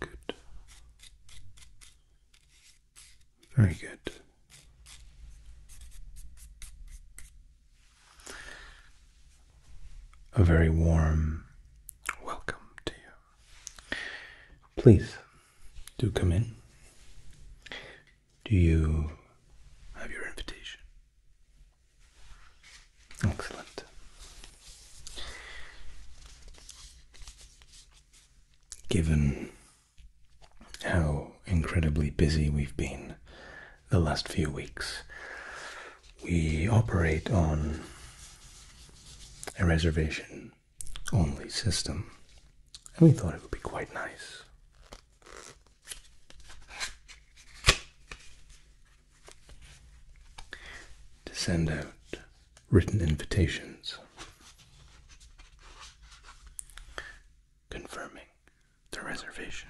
Good. Very good. A very warm welcome to you. Please do come in. Do you have your invitation? Excellent. Given how incredibly busy we've been the last few weeks, we operate on a reservation only system, and we thought it would be quite nice to send out written invitations confirming the reservation.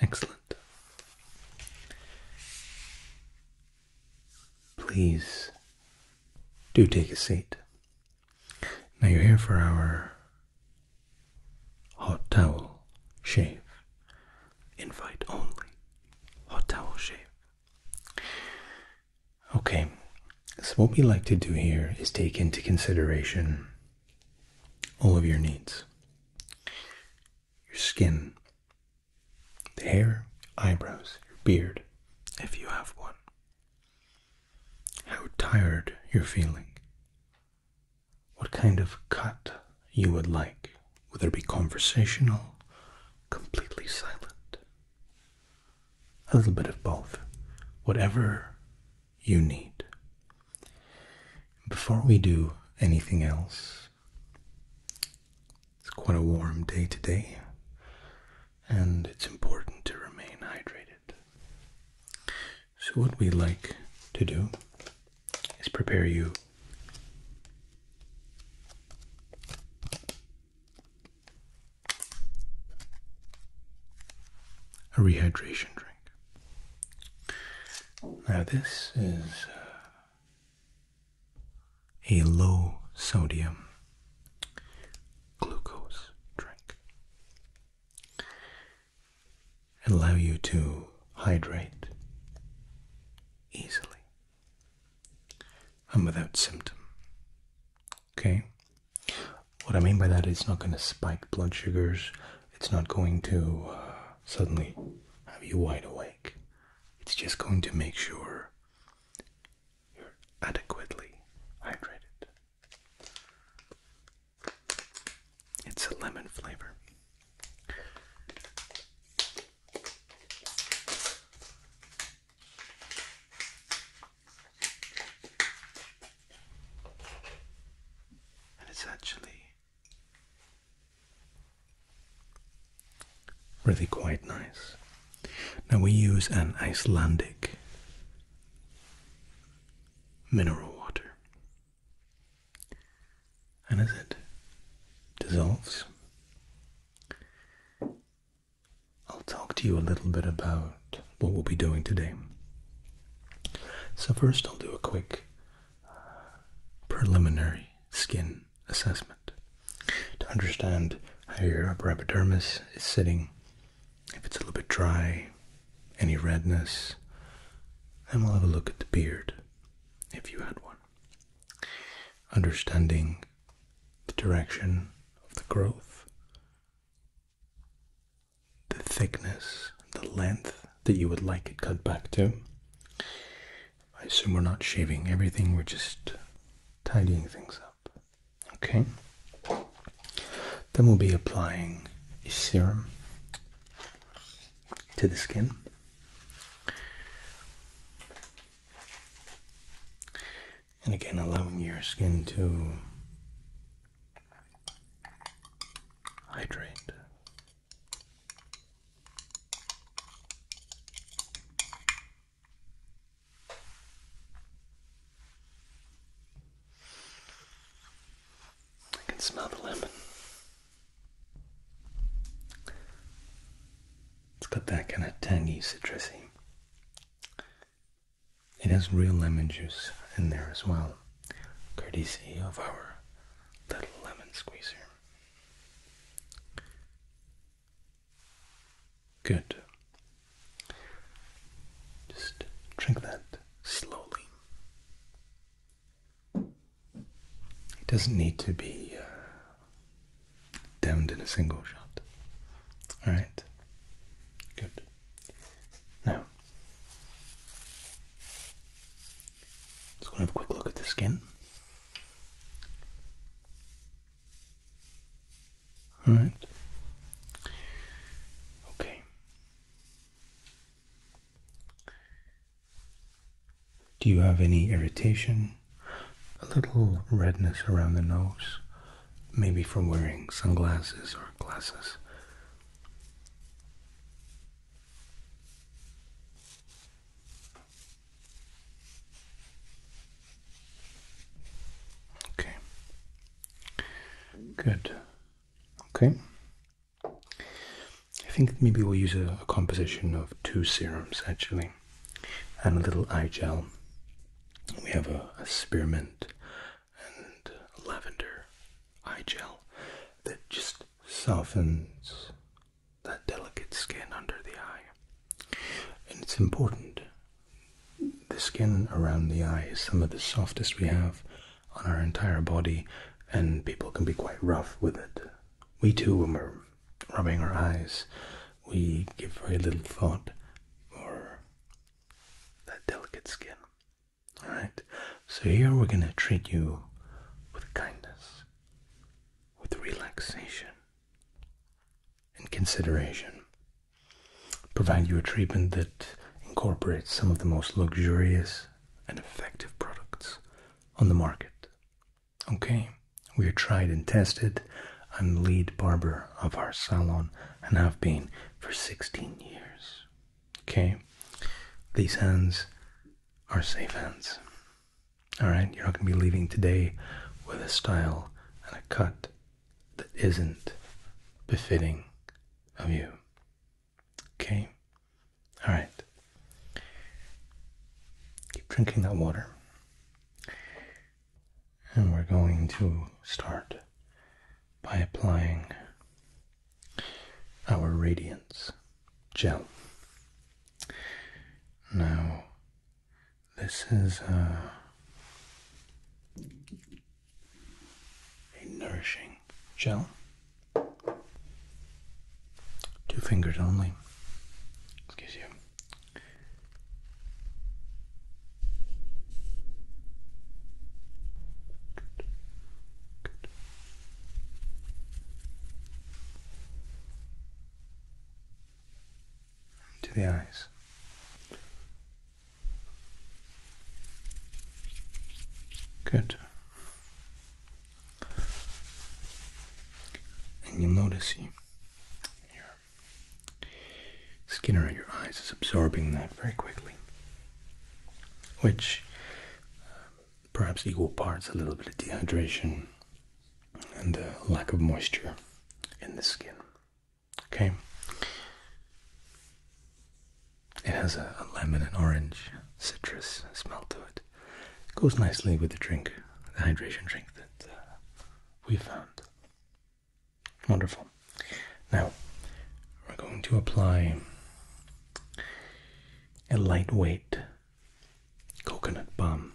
Excellent. Please do take a seat. Now you're here for our hot towel shave. Invite only. Hot towel shave. Okay, so what we like to do here is take into consideration all of your needs your skin, the hair, eyebrows, your beard, if you have one. How tired you're feeling. What kind of cut you would like, whether it be conversational, completely silent, a little bit of both, whatever you need. Before we do anything else, it's quite a warm day today, and it's important to remain hydrated. So, what we like to do is prepare you a rehydration drink. Now, this is uh, a low sodium glucose drink. Allow you to hydrate easily and without symptom. Okay? What I mean by that is not going to spike blood sugars, it's not going to uh, suddenly have you wide awake. It's just going to make sure you're adequately hydrated. It's a lemon flavor. And it's actually Really quite nice. Now we use an Icelandic mineral water. And as it dissolves, I'll talk to you a little bit about what we'll be doing today. So, first, I'll do a quick uh, preliminary skin assessment to understand how your upper epidermis is sitting, if it's a little bit dry, any redness, and we'll have a look at the beard if you had one. Understanding the direction of the growth, the thickness, the length that you would like it cut back to, I assume we're not shaving everything, we're just tidying things up. Okay. Then we'll be applying serum to the skin. And again, allowing your skin to hydrate I can smell the lemon. It's got that kind of tangy, citrusy. It has real lemon juice in there as well, courtesy of our little lemon squeezer. Good. Just drink that slowly. It doesn't need to be uh, in a single shot. All right. Good. Now, Let's to have a quick look at the skin. All right. Okay. Do you have any irritation? A little redness around the nose, maybe from wearing sunglasses or glasses. Okay. Good. Okay. I think maybe we'll use a, composition of two serums actually, and a little eye gel. We have a spearmint and lavender eye gel that just softens that delicate skin under the eye. And it's important. The skin around the eye is some of the softest we have on our entire body, and people can be quite rough with it. We too, when we're rubbing our eyes, we give very little thought for that delicate skin. Alright, so here we're going to treat you with kindness with relaxation and consideration. Provide you a treatment that incorporates some of the most luxurious and effective products on the market. Okay, we are tried and tested. I'm the lead barber of our salon and have been for 16 years. Okay, these hands are safe hands. All right, you're not going to be leaving today with a style and a cut that isn't befitting of you. Okay? All right. Keep drinking that water. And we're going to start by applying our radiance gel. Now, this is uh, a, nourishing gel. Two fingers only. Excuse you to the eyes. Good. And you notice you, your skin around your eyes is absorbing that very quickly, which uh, perhaps equal parts a little bit of dehydration and uh, lack of moisture in the skin. Okay. It has a, lemon and orange citrus smell to it. It goes nicely with the drink, the hydration drink that uh, we found. Wonderful. Now, we're going to apply a lightweight coconut balm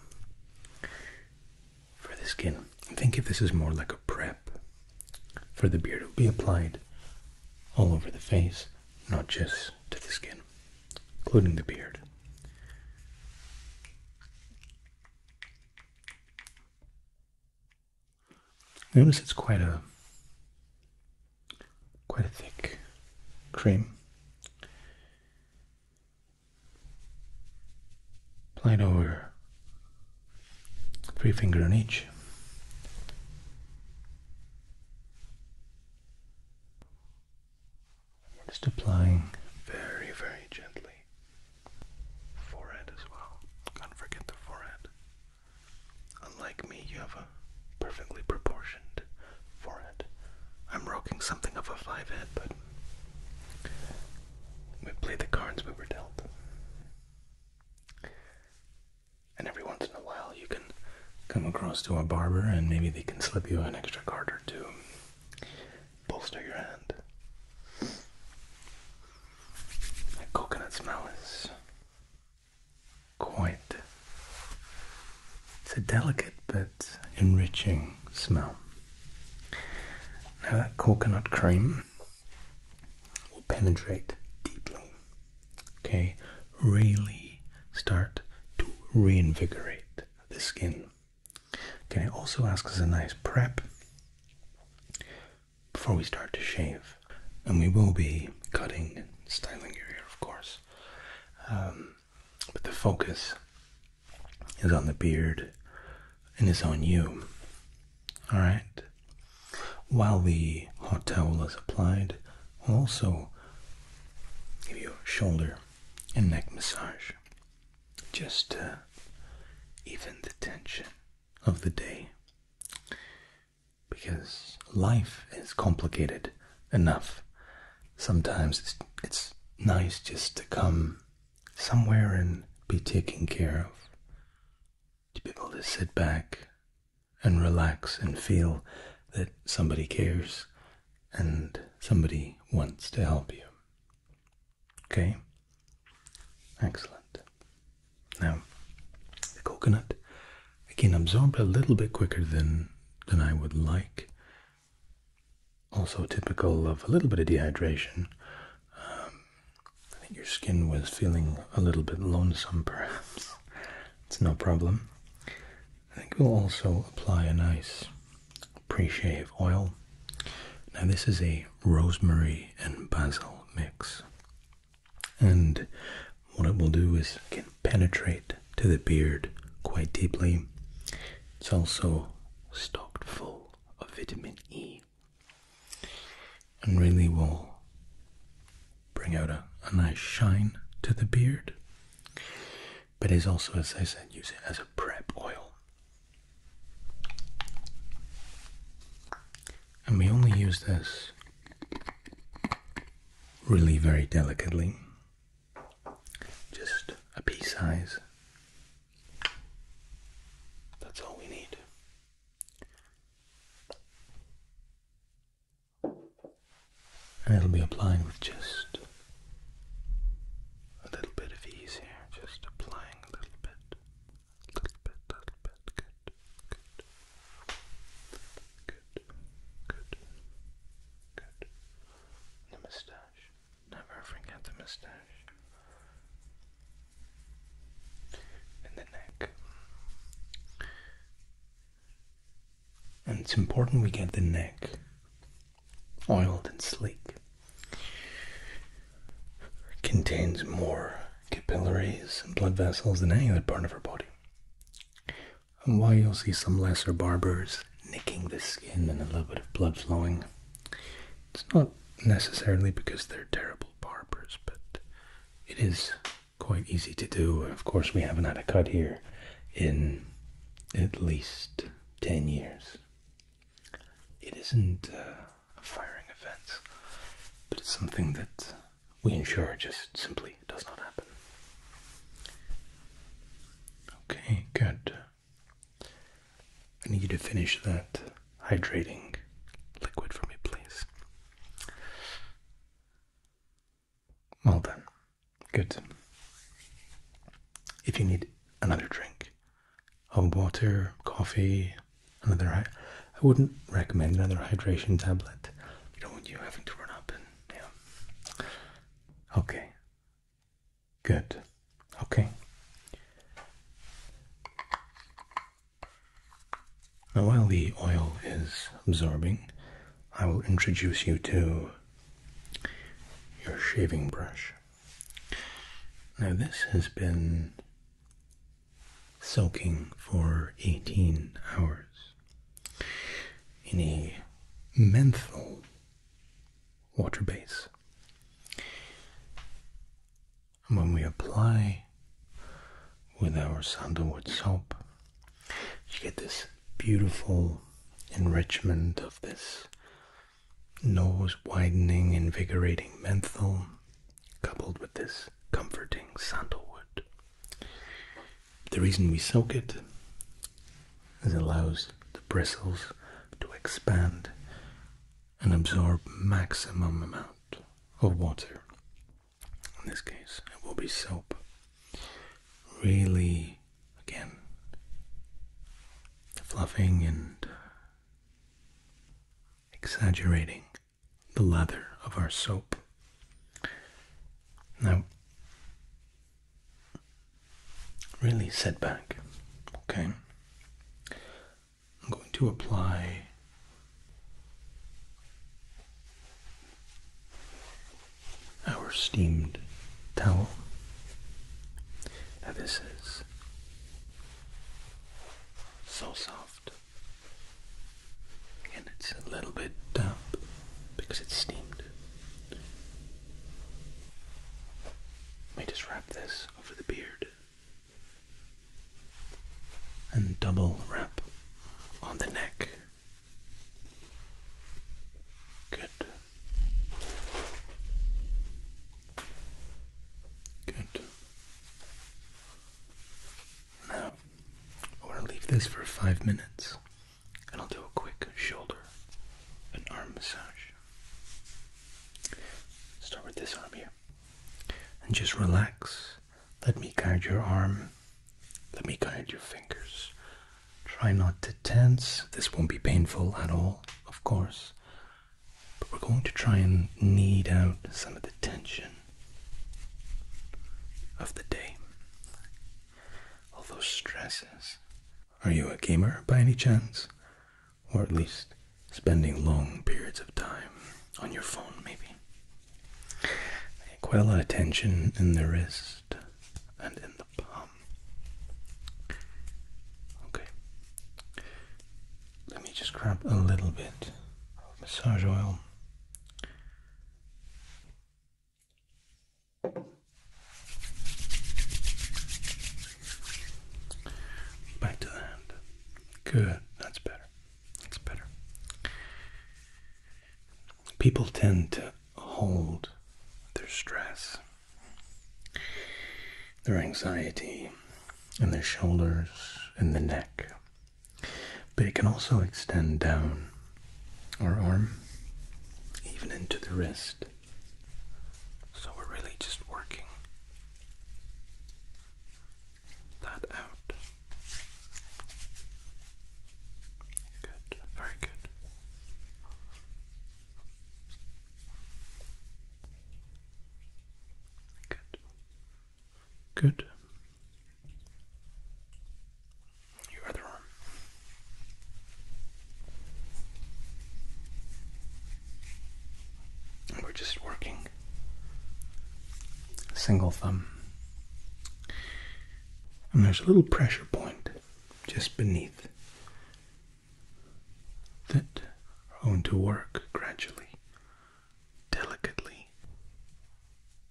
for the skin. I think if this is more like a prep for the beard, it will be applied all over the face, not just to the skin, including the beard. Notice it's quite a quite a thick cream. Slide over three finger on each. We're just applying very, very gently. Forehead as well. Can't forget the forehead. Unlike me, you have a perfectly proportioned for it. I'm rocking something of a five head, but we play the cards we were dealt. And every once in a while, you can come across to a barber and maybe they can slip you an extra card or two. Bolster your hand. That coconut smell is quite it's a delicate but enriching smell. Now, that coconut cream will penetrate deeply, okay? Really start to reinvigorate the skin. Okay, also ask us a nice prep before we start to shave. And we will be cutting and styling your hair, of course. Um, but the focus is on the beard and is on you. Alright? While the hot towel is applied, also give you shoulder and neck massage just to even the tension of the day. Because life is complicated enough sometimes it's, it's nice just to come somewhere and be taken care of, to be able to sit back and relax and feel that somebody cares and somebody wants to help you. Okay? Excellent. Now, the coconut, again, absorbed a little bit quicker than, than I would like also typical of a little bit of dehydration. Um, I think your skin was feeling a little bit lonesome, perhaps. it's no problem. I think we'll also apply a nice pre shave oil. Now, this is a rosemary and basil mix, and what it will do is it can penetrate to the beard quite deeply. It's also stocked full of vitamin E and really will bring out a, nice shine to the beard, but is also, as I said, use it as a prep oil. And we only use this really very delicately just a pea size. That's all we need. And it'll be applying with just a little bit of ease here, just applying a little bit, a little bit, a little bit, good, good, good, good, good, the moustache. Never forget the moustache. And the neck. And it's important we get the neck oiled and sleek. It contains more capillaries and blood vessels than any other part of her body and why you'll see some lesser barbers nicking the skin and a little bit of blood flowing. It's not necessarily because they're terrible barbers, but it is quite easy to do. Of course, we haven't had a cut here in at least 10 years. It isn't a firing event, but it's something that we ensure just simply does not happen. Okay, good. I need you to finish that hydrating liquid for me, please. Well done. Good. If you need another drink of water, coffee, another, I wouldn't recommend another hydration tablet. You don't want you having to run up and, yeah. Okay, Good. Okay. Now, while the oil is absorbing, I will introduce you to your shaving brush. Now, this has been soaking for 18 hours in a menthol water base. And when we apply with our sandalwood soap, you get this beautiful enrichment of this nose widening, invigorating menthol coupled with this comforting sandalwood. The reason we soak it is it allows the bristles to expand and absorb maximum amount of water. In this case, it will be soap. Really, again, fluffing and exaggerating the lather of our soap. Now, really set back. Okay, I'm going to apply our steamed towel. Now, this is so soft and it's a little bit damp because it's steamed. We just wrap this over the beard and double wrap on the neck. Good. Good. Now, I want to leave this for five minutes and I'll do a quick shoulder and arm massage. Start with this arm here. And just relax. Let me guide your arm. Let me guide your fingers. Try not to tense. This won't be painful at all, of course. But we're going to try and knead out some of the tension of the day. All those stresses are you a gamer by any chance? Or at least spending long periods of time on your phone, maybe? Quite a lot of tension in the wrist and in the palm. Okay. Let me just grab a little bit of massage oil. Back to the hand. Good. That's better. That's better. People tend to hold their stress, their anxiety, in their shoulders and the neck. But it can also extend down our arm, even into the wrist. So we're really just working that out. Good, very good. Good. Good. Your other arm. we're just working single thumb. And there's a little pressure point just beneath that are going to work gradually, delicately,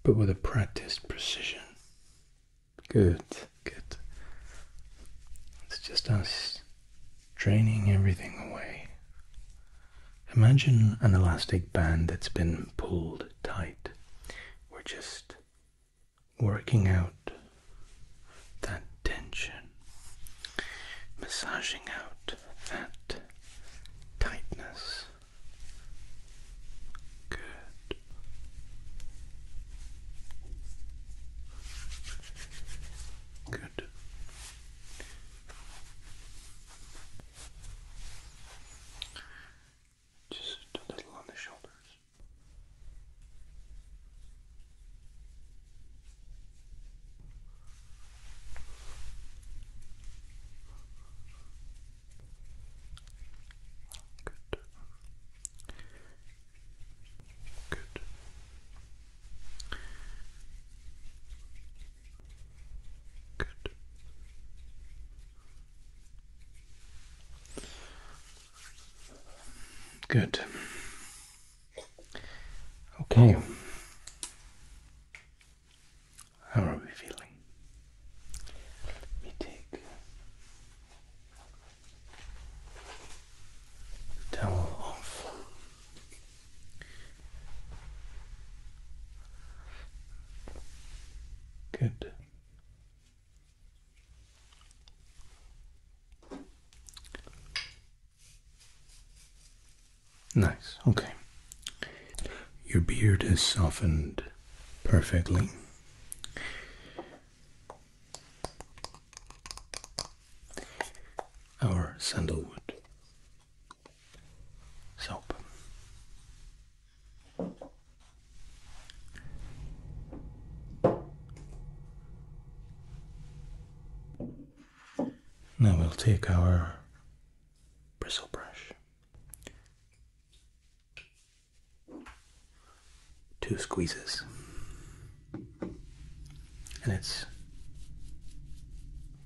but with a practiced precision. Good, good. It's just us draining everything away. Imagine an elastic band that's been pulled tight. We're just working out that tension, massaging out that tightness. Good. Good. Just a little on the shoulders. Good. Good. Good. Good. Okay. Oh. How are we feeling? Let take the towel off. Good. Nice, okay. Your beard has softened perfectly our sandalwood soap. Now we'll take our bristle brush two squeezes. And it's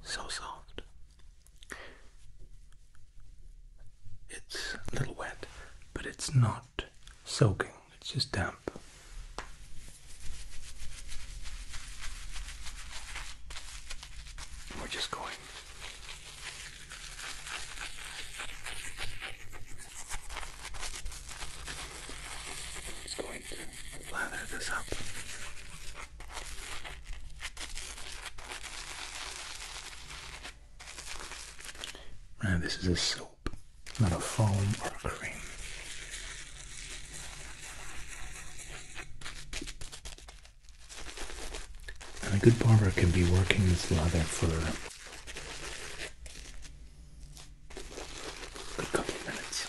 so soft. It's a little wet, but it's not soaking, it's just damp. We're just going. It's going to lather this up. Now this is a soap, not a foam or a cream. a good barber can be working this lather for a couple of minutes.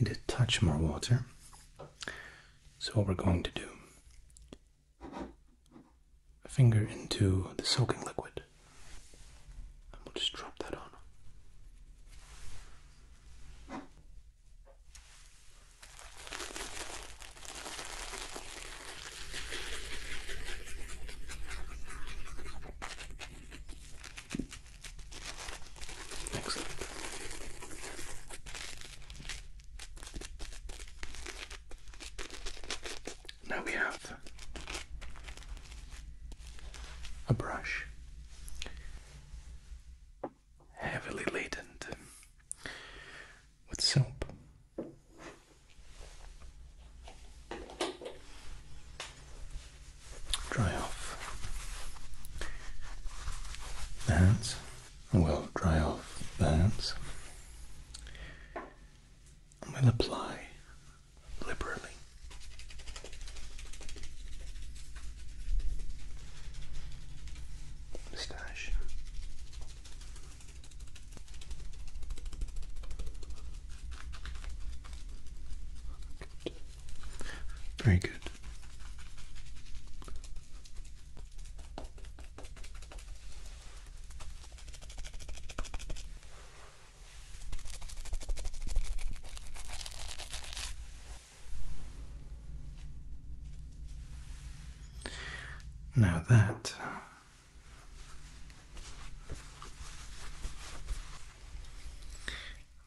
need a touch more water. So, what we're going to do a finger into the soaking liquid, and we'll just drop that on. Now we have a brush heavily laden with soap dry off the hands. Well, dry off the hands. I'm going to apply liberally. Moustache. Good. Very good. Now that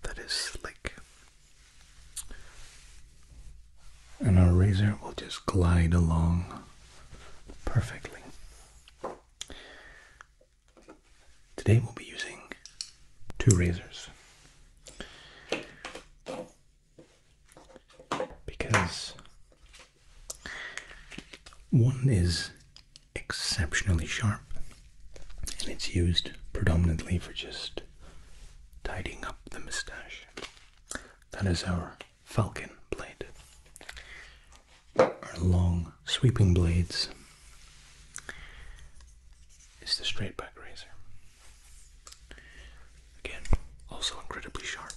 that is slick. And our razor will just glide along perfectly. Today we'll be using two razors because one is exceptionally sharp and it's used predominantly for just tidying up the moustache. That is our falcon blade. Our long sweeping blades is the straight back razor. Again, also incredibly sharp.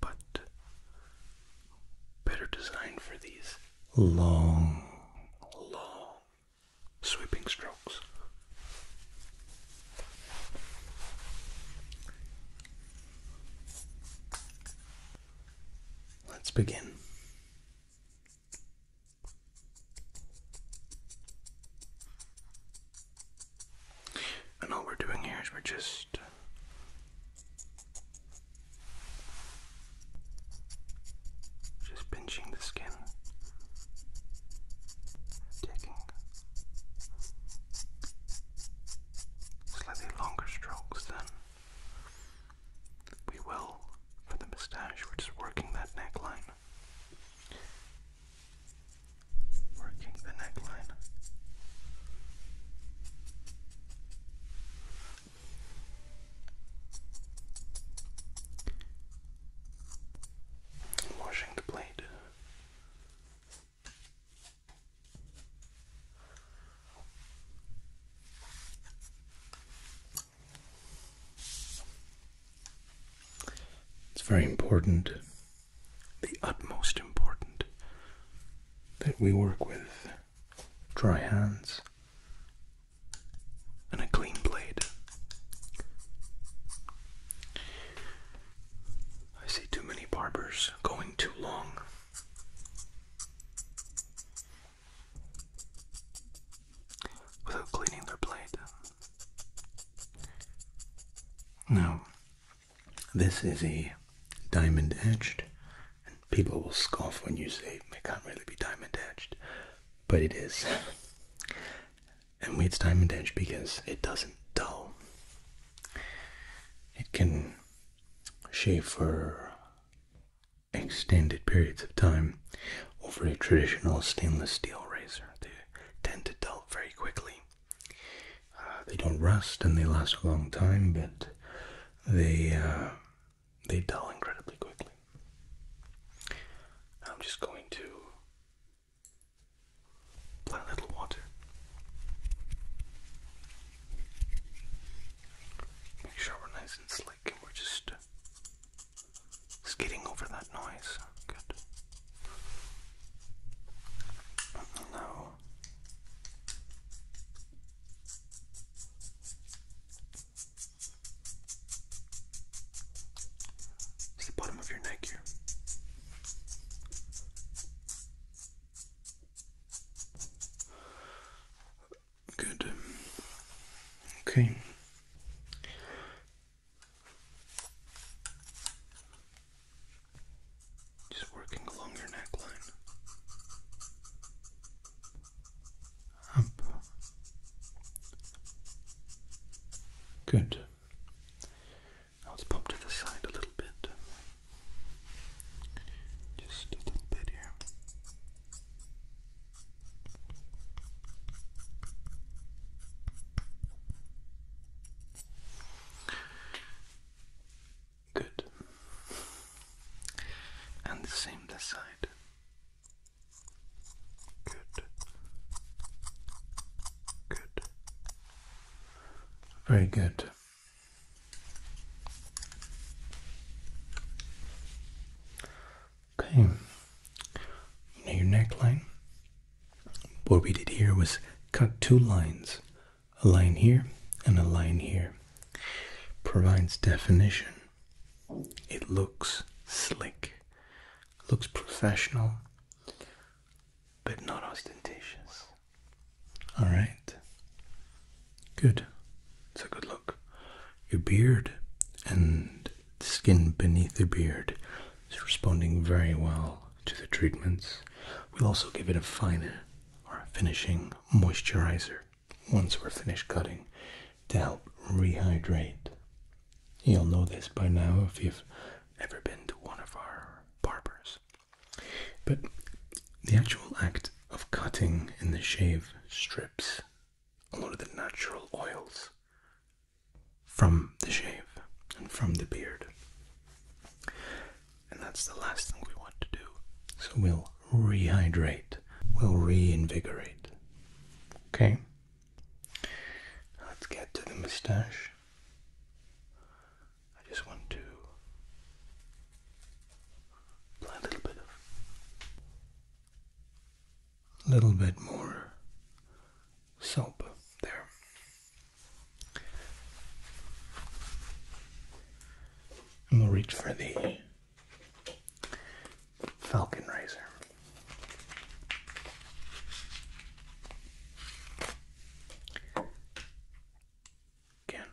But better designed for these long, long sweeping strokes. Let's begin. And all we're doing here is we're just just pinching the skin, taking slightly longer strokes Then we will for the moustache. We're just working that neckline, working the neckline. Washing the plate. It's very important, the utmost important, that we work with dry hands, and a clean blade. I see too many barbers going too long. Without cleaning their blade. Now, this is a diamond edged and people will scoff when you say it can't really be diamond edged, but it is. and it's diamond edged because it doesn't dull. It can shave for extended periods of time over a traditional stainless steel razor. They tend to dull very quickly. Uh, they don't rust and they last a long time, but they uh, they dull incredibly quickly. I'm just going to plant a little water. Make sure we're nice and slick and we're just skidding over that noise. Good. Now, it's the bottom of your neck here. Good. Okay. Just working along your neckline. Good. let's pop to the side a little bit. Just a little bit here. Good. And the same this side. Good. Good. Very good. Okay. Now your neckline. What we did here was cut two lines. A line here and a line here. Provides definition it looks slick, looks professional, but not ostentatious. All right. Good. It's a good look. Your beard and the skin beneath the beard is responding very well to the treatments. We'll also give it a finer or a finishing moisturizer once we're finished cutting to help rehydrate. You'll know this by now if you've ever been to one of our barbers. But the actual act of cutting in the shave strips a lot of the natural oils from the shave and from the beard. And that's the last thing we want to do. So we'll rehydrate, we will reinvigorate. Okay, let's get to the moustache. I just want to apply a little bit of, little bit more soap there. And we'll reach for the Falcon Razor. Again,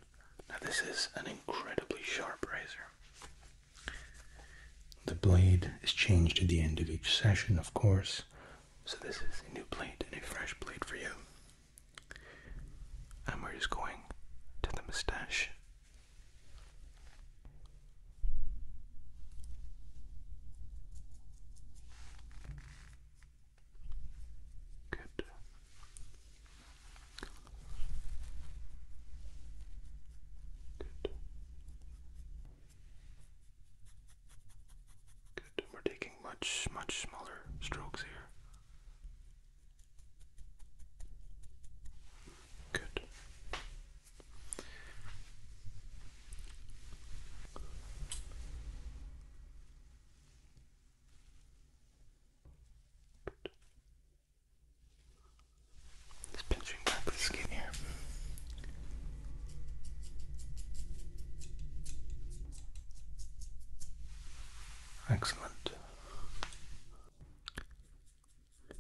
now this is an incredibly sharp razor. The blade is changed at the end of each session, of course, so this is a new blade and a fresh blade for you. And we're just going to the mustache Good. Good. Good. We're taking much, much smaller strokes here. Good. Just pinching back the skin here. Excellent. Good.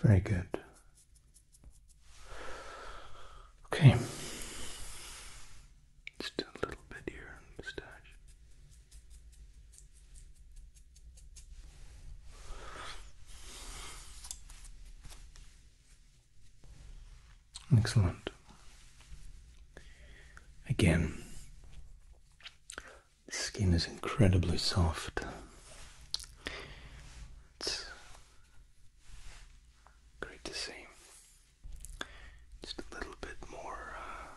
Very good. Okay. Just a little bit here on the moustache. Excellent. Again, the skin is incredibly soft. It's great to see. Just a little bit more, uh,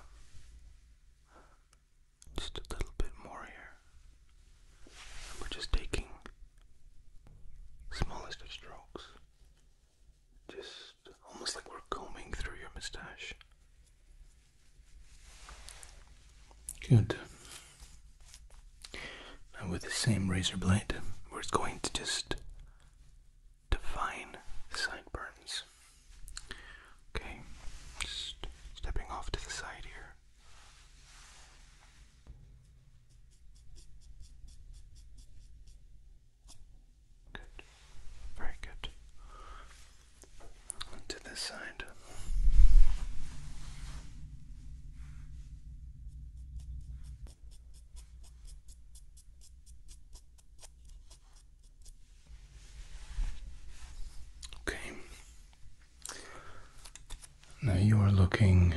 just a little bit more here. we're just taking smallest of strokes. Just almost like we're combing through your mustache. Good. And with the same razor blade, we're going to just define the sideburns. Okay, just stepping off to the side here. Good. Very good. to this side. Okay. Now you are looking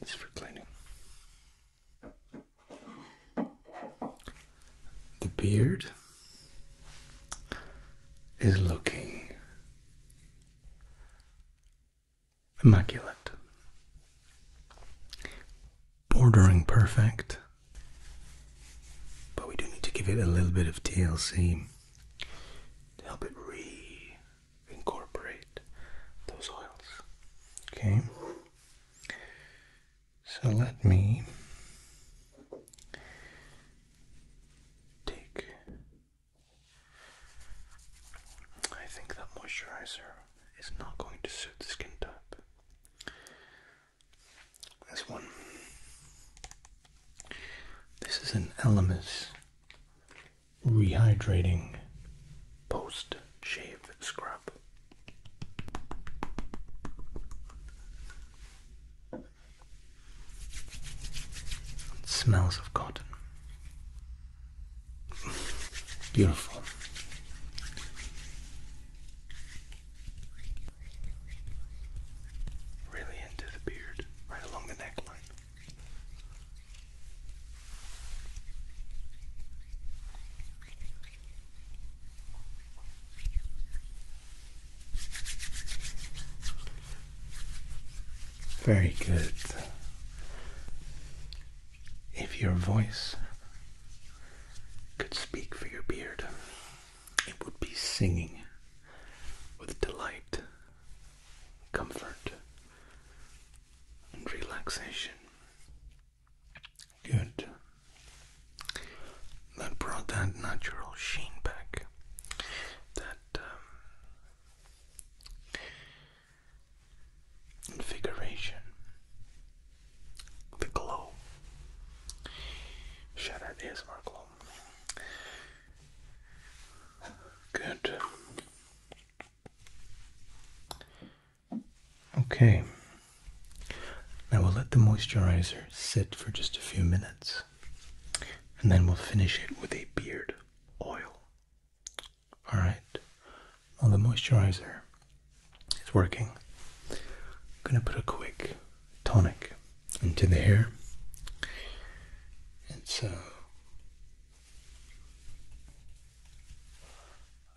it's for cleaning. The beard is looking immaculate, bordering perfect, but we do need to give it a little bit of TLC to help it re incorporate those oils. Okay, so let me take. I think that moisturizer is not going to suit the skin type. This one. This is an Elemis rehydrating post shave scrub. smells of cotton. Beautiful. Really into the beard, right along the neckline. Very good. If your voice could speak for your beard, it would be singing with delight, comfort, and relaxation. Good. That brought that natural sheen back. That um, The glow. Shout out ASMR glow. Good. Okay. Now we'll let the moisturizer sit for just a few minutes and then we'll finish it with a beard oil. Alright. While the moisturizer is working, I'm going to put a quick tonic into the hair. and so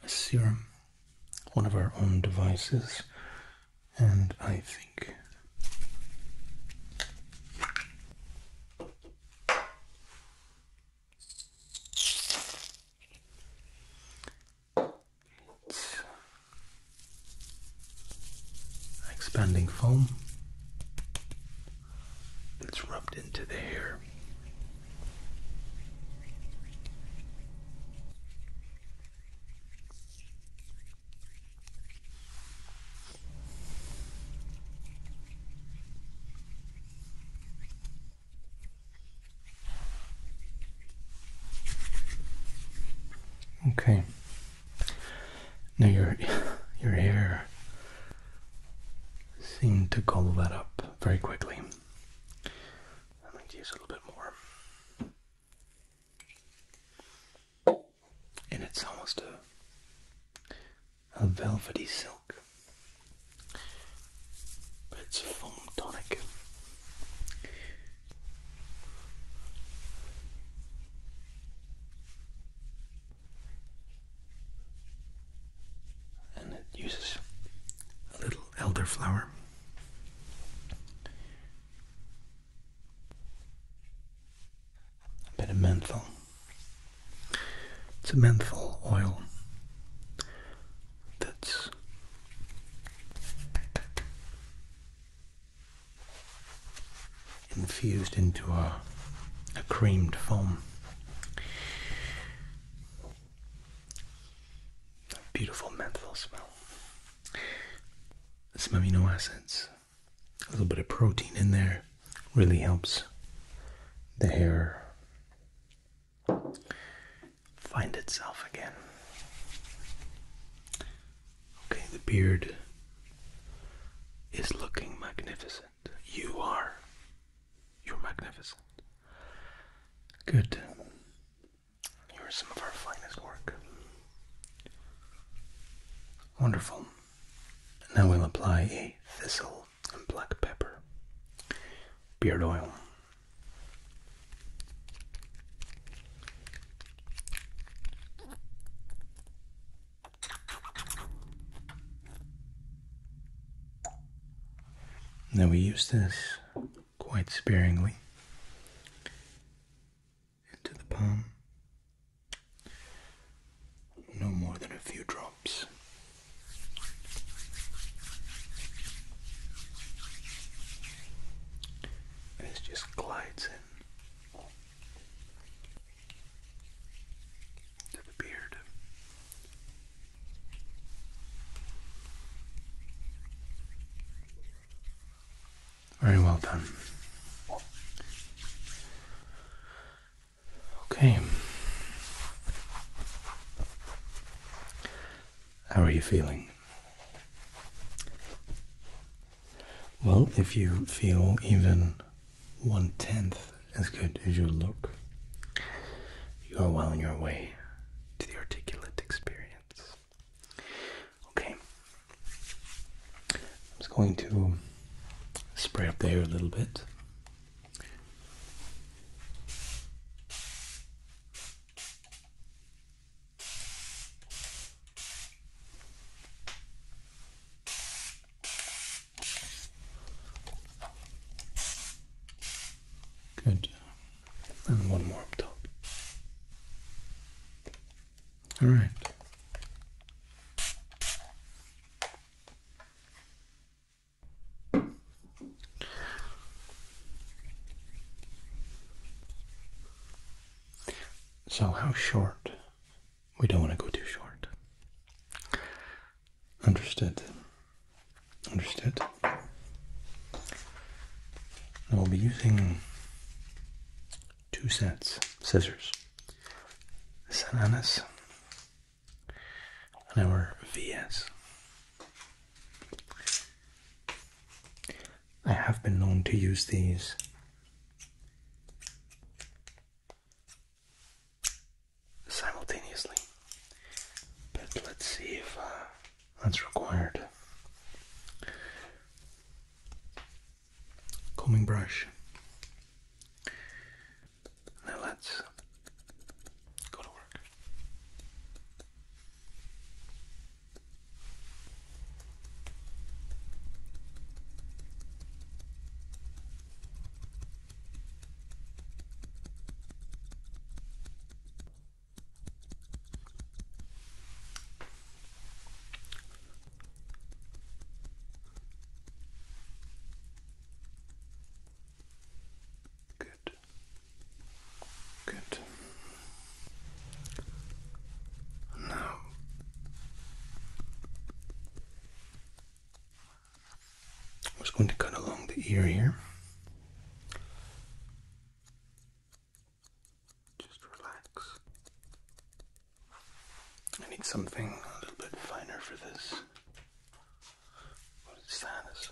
a serum, one of our own devices, and I think it's expanding foam it's rubbed into the hair. Okay. Now your your hair seem to gobble that up very quickly. I'm use a little bit more. And it's almost a, a velvety silk. But it's foam tonic and it uses a little elderflower. A bit of menthol. It's a menthol oil that's infused into a, a creamed foam. That beautiful menthol smell. Some amino acids, a little bit of protein in there really helps the hair find itself again. Okay, the beard is looking magnificent. You are you're magnificent. Good. you some of our finest work. Wonderful. Now we'll apply a thistle and black pepper, beard oil. Now we use this quite sparingly into the palm, no more than a few drops. And it just glides in. To the beard. Very well done. Okay. How are you feeling? Well, if you feel even one tenth as good as you look, you are well on your way to the articulate experience. Okay. I'm just going to spray up the air a little bit. Good. And one more up top. All right. So, how short? We don't want to go too short. Understood. Understood. Now we'll be using two sets scissors. San and our VS. I have been known to use these simultaneously. But let's see if uh, that's required. Combing brush. Now let's go to work. Good. Good. Now i was going to cut along the ear here. Just relax. I need something a little bit finer for this. What is that? Is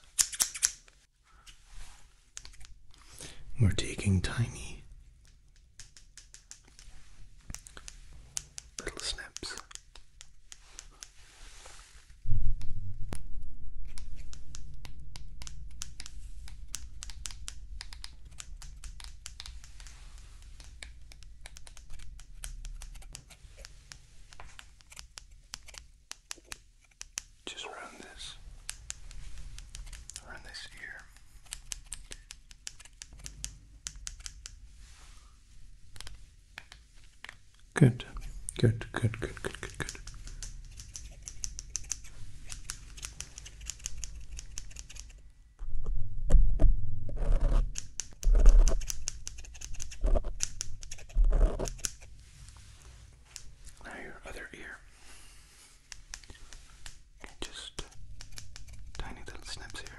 We're taking tiny little snips just run this, run this ear. Good, good, good, good, good, good, good. Now your other ear. Just tiny little snips here.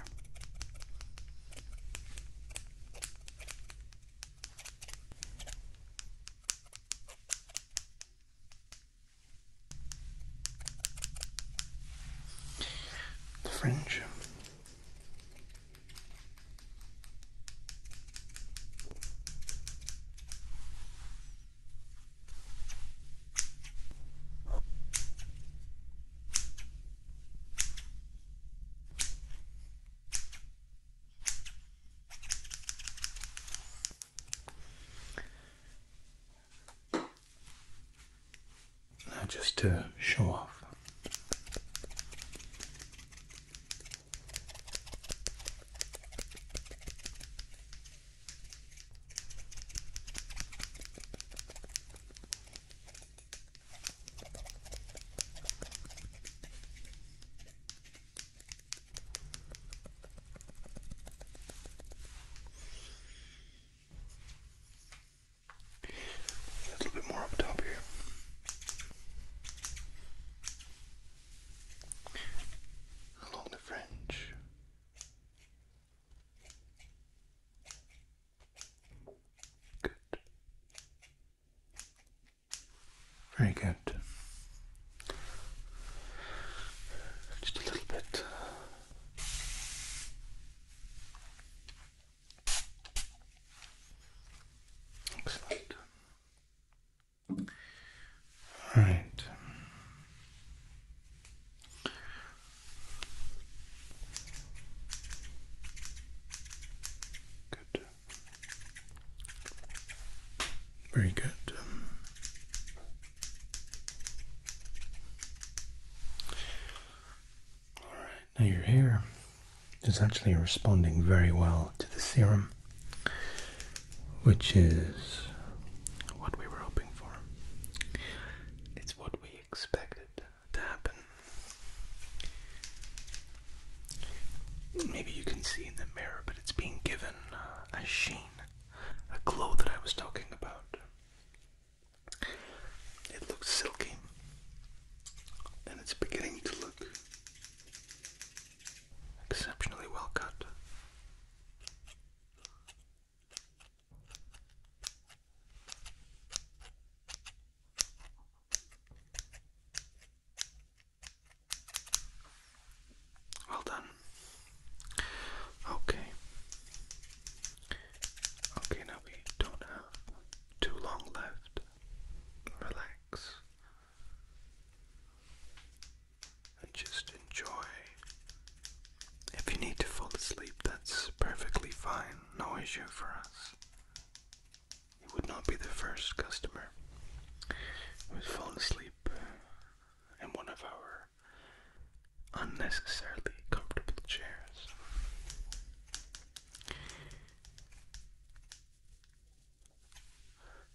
The fringe just to show off, a little bit more up top here. Along the fringe. Good. Very good. Just a little bit. Excellent. All right. Very good. All right, now your hair is actually responding very well to the serum, which is what we were hoping for. It's what we expected to happen. Maybe you can see in the mirror, but it's being given a sheen, a glow that I was talking about. It looks silky, and it's beginning to look exceptionally well cut. Well done. Okay. Okay, now we don't have too long left. Relax. And just enjoy. If you need to fall asleep, that's perfectly fine. No issue for us. He would not be the first customer who has fallen asleep in one of our unnecessarily comfortable chairs.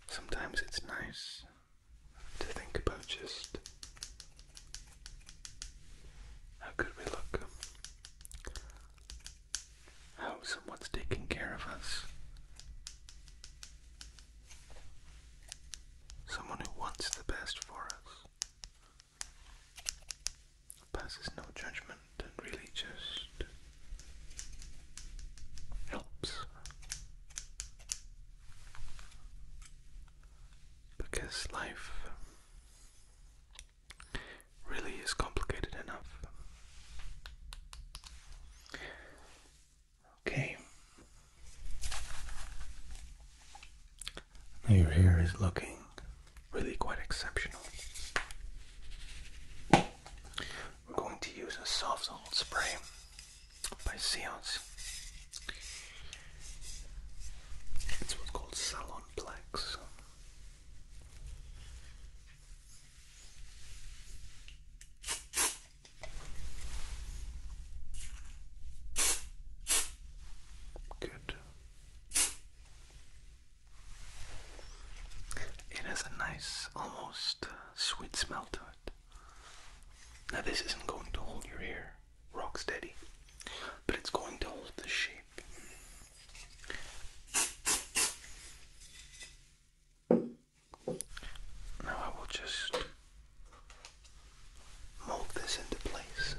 Sometimes it's nice to think about just how good we look how someone's taking care of us. Someone who wants the best for us. Passes no judgment and really just helps. Because life really is complicated enough. Okay. your hair is looking really quite exceptional. We're going to use a soft salt spray by Seance. It's what's called Salon Plex. Good. It has a nice, almost sweet smell to it. Now, this isn't going to hold your ear rock steady, but it's going to hold the shape. Now I will just mold this into place.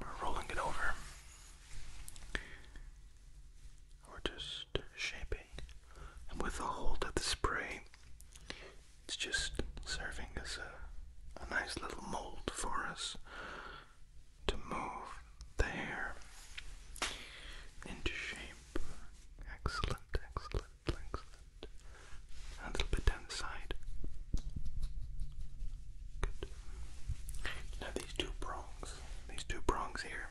We're rolling it over. We're just shaping, and with the hold of the spray, it's just serving as a, a nice little mold for us to move the hair into shape. Excellent, excellent, excellent. a little bit down the side. Good. Now these two prongs, these two prongs here.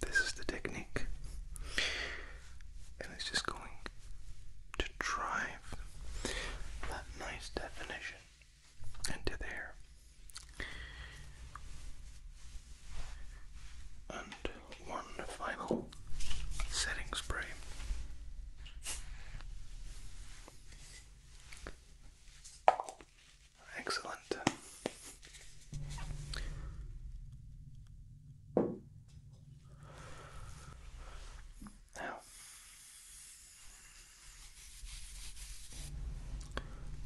This is the technique and it's just going to drive that nice definition into there. And one final setting spray. Excellent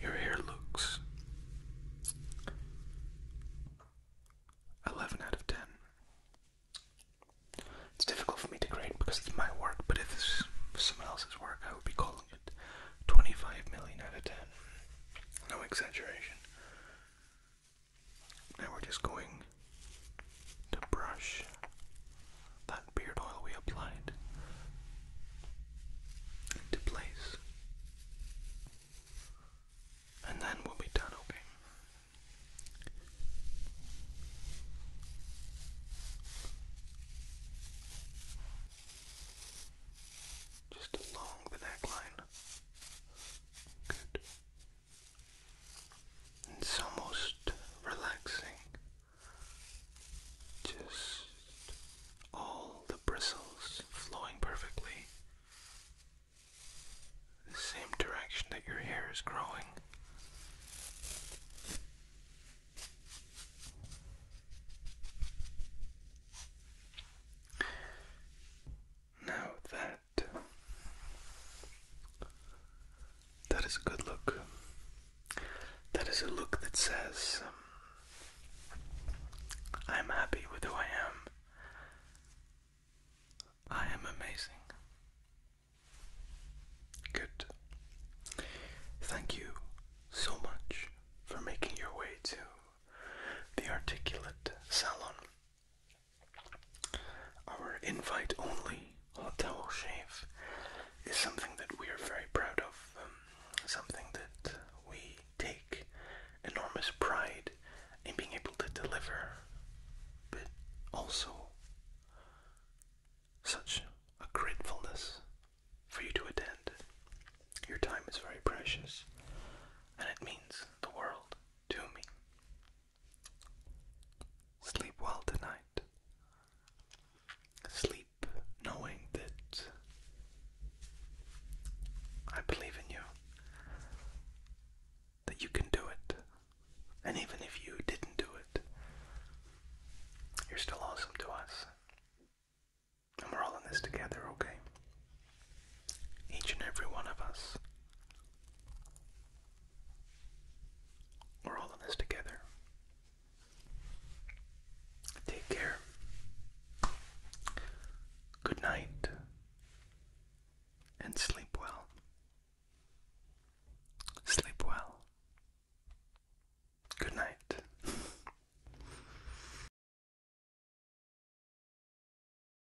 your hair looks 11 out of 10. It's difficult for me to grade because it's my work, but if it's someone else's work, I would be calling it 25 million out of 10. No exaggeration. Now we're just going to brush that beard oil we applied into place. And then we'll be done, okay? Just along the neckline. Good. It's almost relaxing. Just all the bristles flowing perfectly. The same direction that your hair is growing. Now that that is a good look. That is a look that says, um, I'm happy with who I am. I am amazing. Good. Thank you so much for making your way to the Articulate Salon. Our invite only hotel shave is something that we are very proud of, um, something that we take enormous pride in being able to deliver, but also such a gratefulness for you to attend. Your time is very precious, and it means the world to me. Sleep well tonight. Sleep knowing that I believe in you, that you can do it. And even if you didn't do it, you're still awesome to us. And we're all in this together, okay? Each and every one of us. We're all in this together. Take care. Good night. And sleep well. Sleep well. Good night.